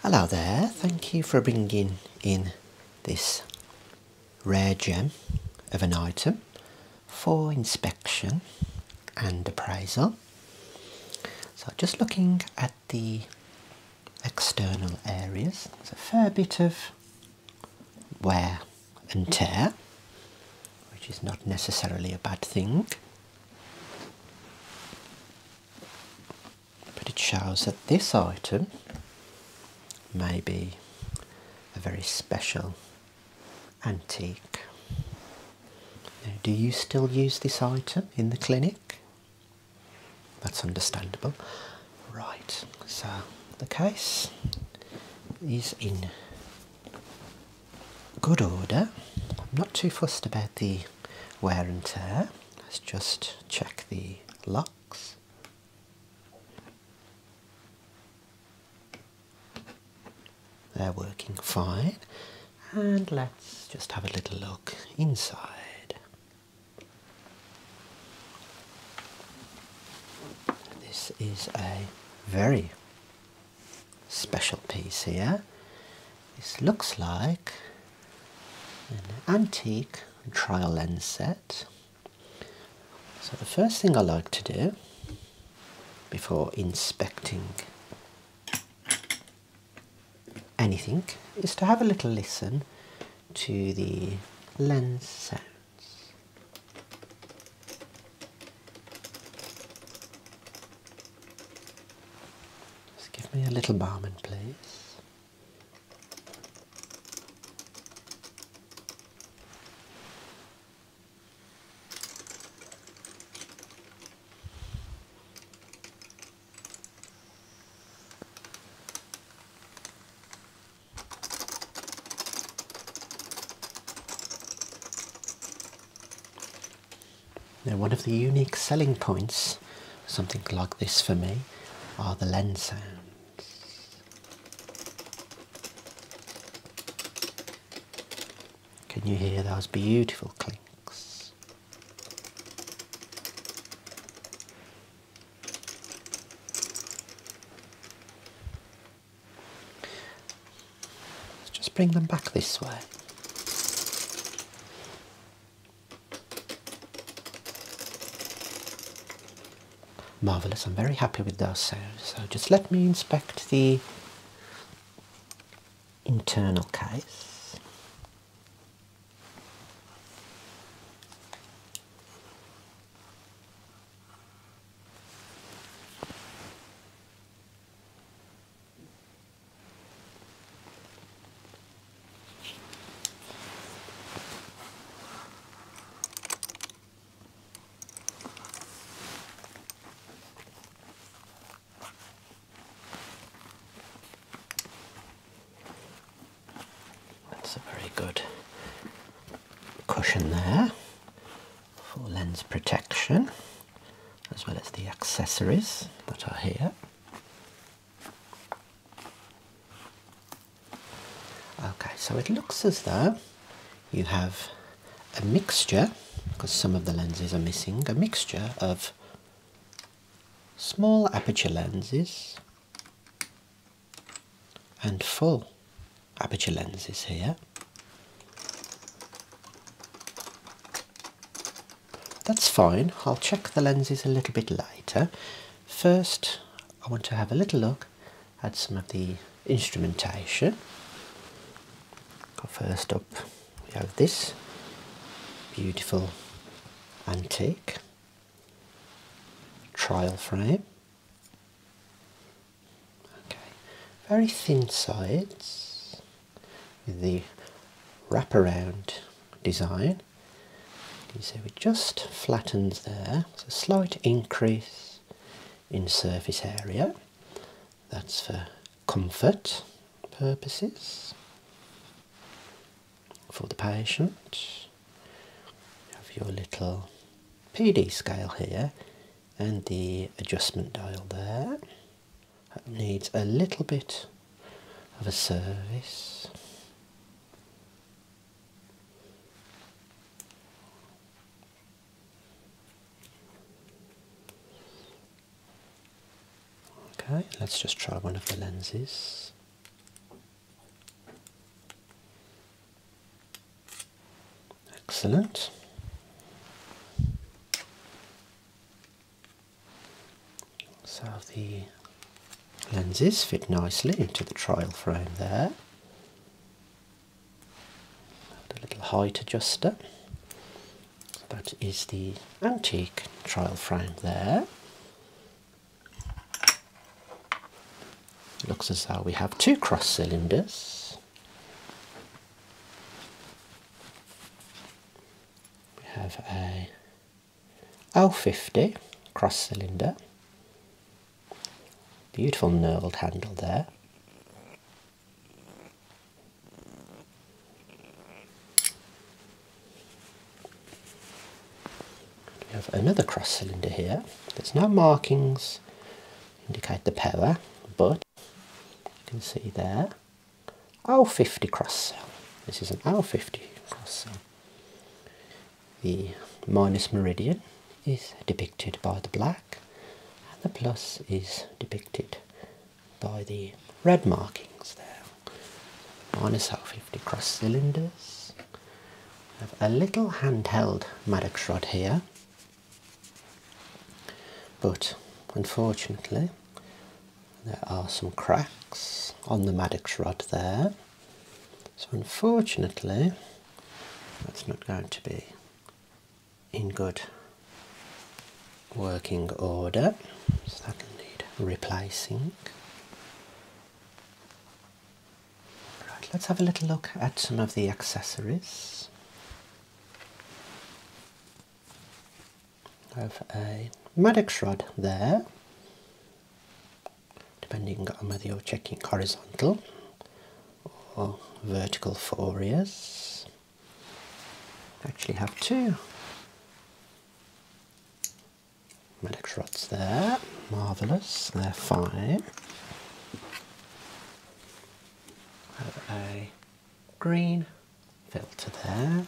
Hello there, thank you for bringing in this rare gem of an item for inspection and appraisal. So just looking at the external areas, there's a fair bit of wear and tear, which is not necessarily a bad thing but it shows that this item may be a very special antique. do you still use this item in the clinic? That's understandable. Right, so the case is in good order. I'm not too fussed about the wear and tear. Let's just check the locks. They're working fine. And let's just have a little look inside. This is a very special piece here. This looks like an antique trial lens set. So the first thing I like to do before inspecting anything is to have a little listen to the lens sounds. Just give me a little barman, please. Now, one of the unique selling points, something like this for me, are the lens sounds. Can you hear those beautiful clinks? Let's just bring them back this way. Marvelous, I'm very happy with those So just let me inspect the internal case. That's a very good cushion there for lens protection as well as the accessories that are here. Okay, so it looks as though you have a mixture, because some of the lenses are missing, a mixture of small aperture lenses and full aperture lenses here. That's fine. I'll check the lenses a little bit later. First, I want to have a little look at some of the instrumentation. First up, we have this beautiful antique trial frame. Okay, very thin sides the wraparound design. So it just flattens there. It's a slight increase in surface area. That's for comfort purposes for the patient. You have your little PD scale here and the adjustment dial there. That needs a little bit of a service. Okay, let's just try one of the lenses. Excellent. So the lenses fit nicely into the trial frame there. a little height adjuster. that is the antique trial frame there. Looks as though we have two cross cylinders we have a L50 cross cylinder, beautiful knurled handle there. We have another cross cylinder here. There's no markings indicate the power, but you can see there, L50 cross cell. This is an L50 cross cell. The minus meridian is depicted by the black, and the plus is depicted by the red markings there. Minus L50 cross cylinders. I have a little handheld Maddox rod here, but unfortunately there are some cracks on the Maddox rod there. So unfortunately, that's not going to be in good working order. So that'll need replacing. Right, let's have a little look at some of the accessories have a Maddox rod there, depending on whether you're checking horizontal or vertical Fouriers. Actually, have two Maddox rods there, marvellous, they're fine. Have a green filter there.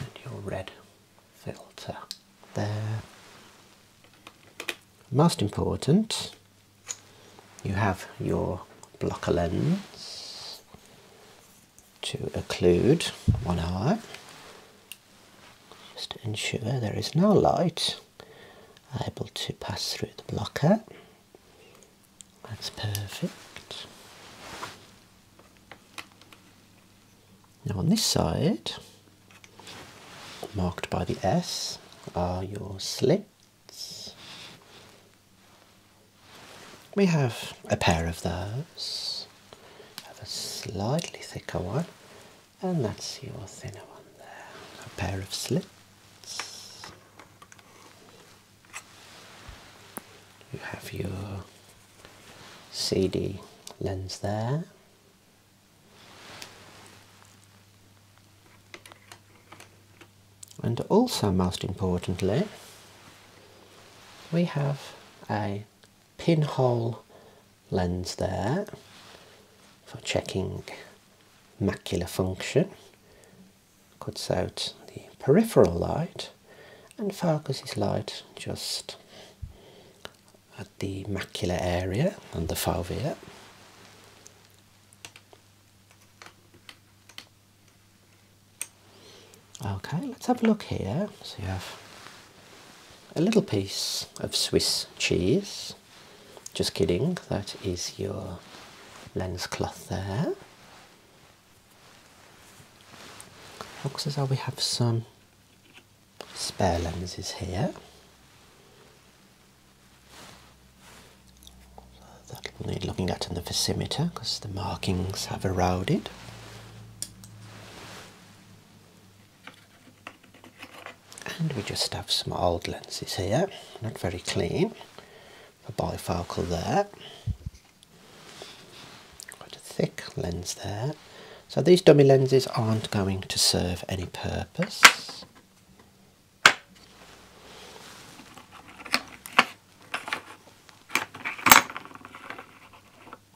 And your red filter there. Most important, you have your blocker lens to occlude one eye. Just ensure there is no light able to pass through the blocker. That's perfect. Now on this side, marked by the S, are your slits. We have a pair of those. Have a slightly thicker one and that's your thinner one there. A pair of slits. You have your CD lens there. And also, most importantly, we have a pinhole lens there for checking macular function, cuts out the peripheral light, and focuses light just at the macular area and the fovea. Okay, let's have a look here. So you have a little piece of Swiss cheese just kidding, that is your lens cloth there. Looks as though we have some spare lenses here. That'll we need looking at in the visimeter because the markings have eroded. And we just have some old lenses here, not very clean. A bifocal there. Quite a thick lens there. So these dummy lenses aren't going to serve any purpose.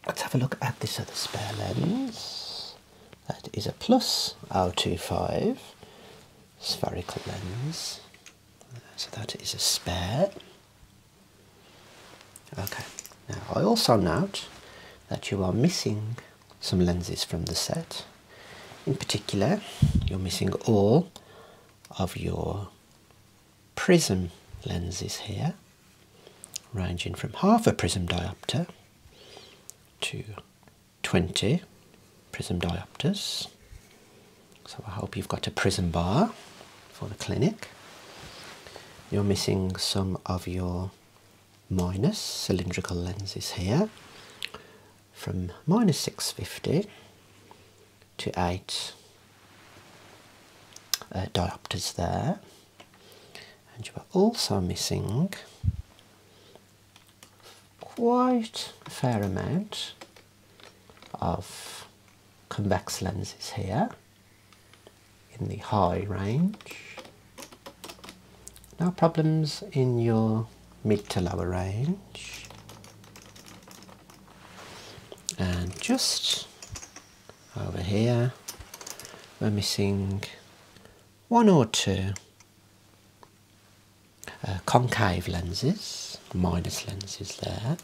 Let's have a look at this other spare lens. That is a plus R25 spherical lens. So that is a spare. Okay, now I also note that you are missing some lenses from the set. In particular, you're missing all of your prism lenses here, ranging from half a prism diopter to 20 prism diopters. So I hope you've got a prism bar for the clinic. You're missing some of your minus cylindrical lenses here from minus 650 to 8 uh, diopters there and you are also missing quite a fair amount of convex lenses here in the high range. No problems in your mid to lower range. And just over here, we're missing one or two uh, concave lenses, minus lenses there.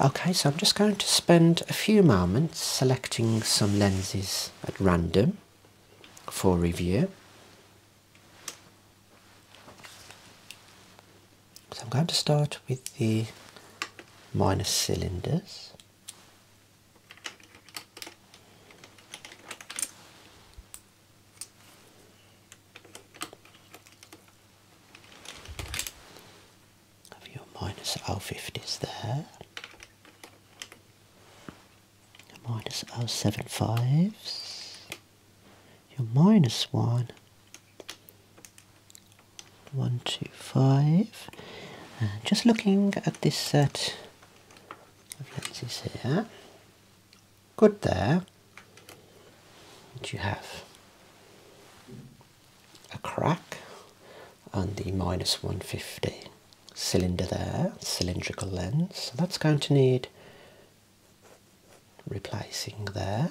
Okay, so I'm just going to spend a few moments selecting some lenses at random for review. So I'm going to start with the minus cylinders. Have your minus O50s there. Your minus O75s. Your minus 1 one, two, five. Uh, just looking at this set of lenses here. Good there. And you have a crack on the minus 150 cylinder there, cylindrical lens. So that's going to need replacing there.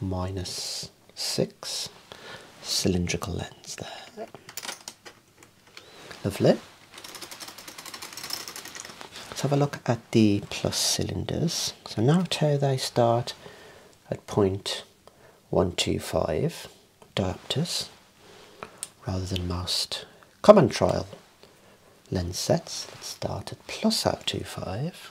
minus six cylindrical lens there. Lovely. Let's have a look at the plus cylinders. So NATO they start at point one two five diopters rather than most common trial lens sets Let's start at plus one two five.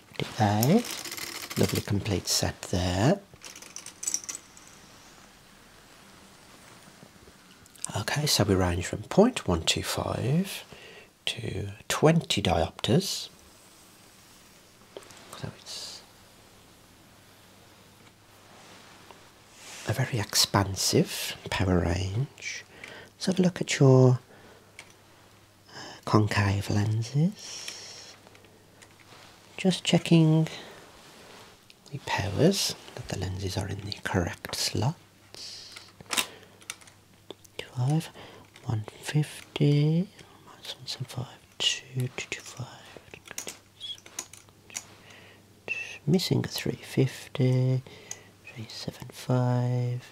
today. Lovely complete set there. Okay, so we range from 0.125 to 20 diopters. So it's a very expansive power range. Let's have a look at your concave lenses. Just checking the powers that the lenses are in the correct slots. 12, 150, minus Missing a 350, 375.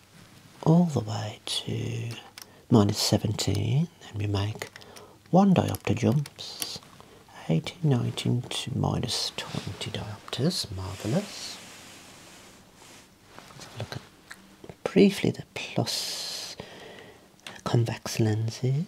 all the way to minus 17 and we make one diopter jumps 18 19 to minus 20 diopters marvelous Let's look at briefly the plus convex lenses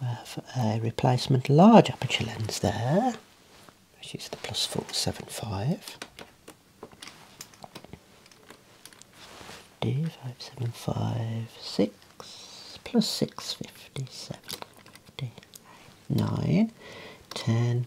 we have a replacement large aperture lens there, which is the plus 475. D five seven five six plus six fifty seven fifty nine ten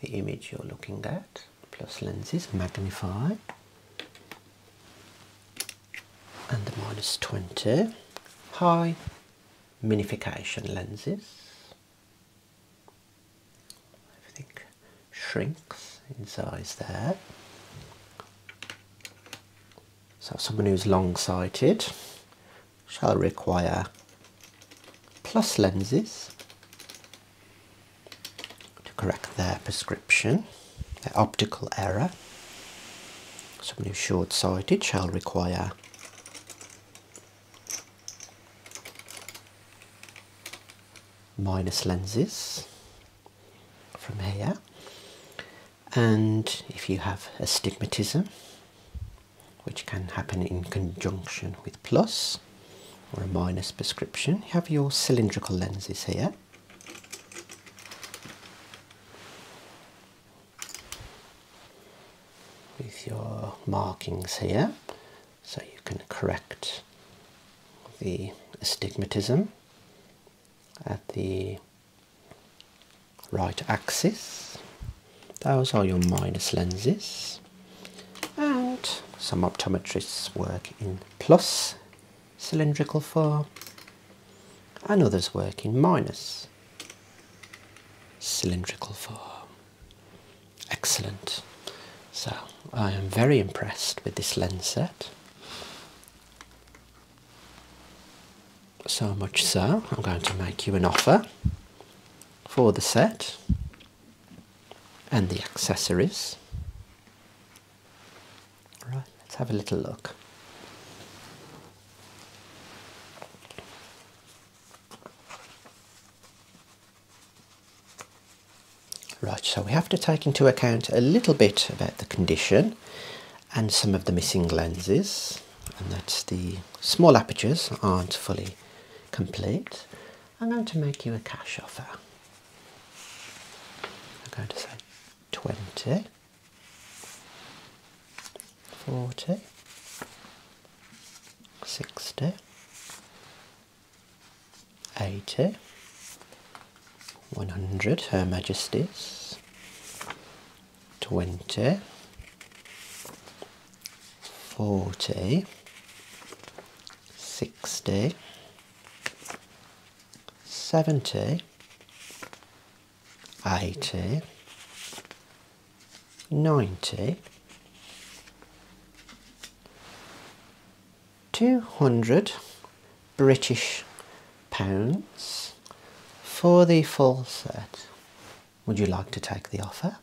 the image you're looking at plus lenses magnify and the minus 20 high minification lenses everything shrinks in size there so someone who's long-sighted shall require plus lenses to correct their prescription, their optical error. Someone who's short-sighted shall require minus lenses from here and if you have astigmatism which can happen in conjunction with plus or a minus prescription. have your cylindrical lenses here. With your markings here, so you can correct the astigmatism at the right axis. Those are your minus lenses and some optometrists work in plus cylindrical form and others work in minus cylindrical form. Excellent. So I am very impressed with this lens set. So much so, I'm going to make you an offer for the set and the accessories. All right, let's have a little look. Right, so we have to take into account a little bit about the condition and some of the missing lenses, and that's the small apertures aren't fully complete. I'm going to make you a cash offer. I'm going to say 20, 40, 60, 80, 100, Her Majesty's, 20, 40, sixty, seventy, eighty, ninety, two hundred British pounds for the full set. Would you like to take the offer?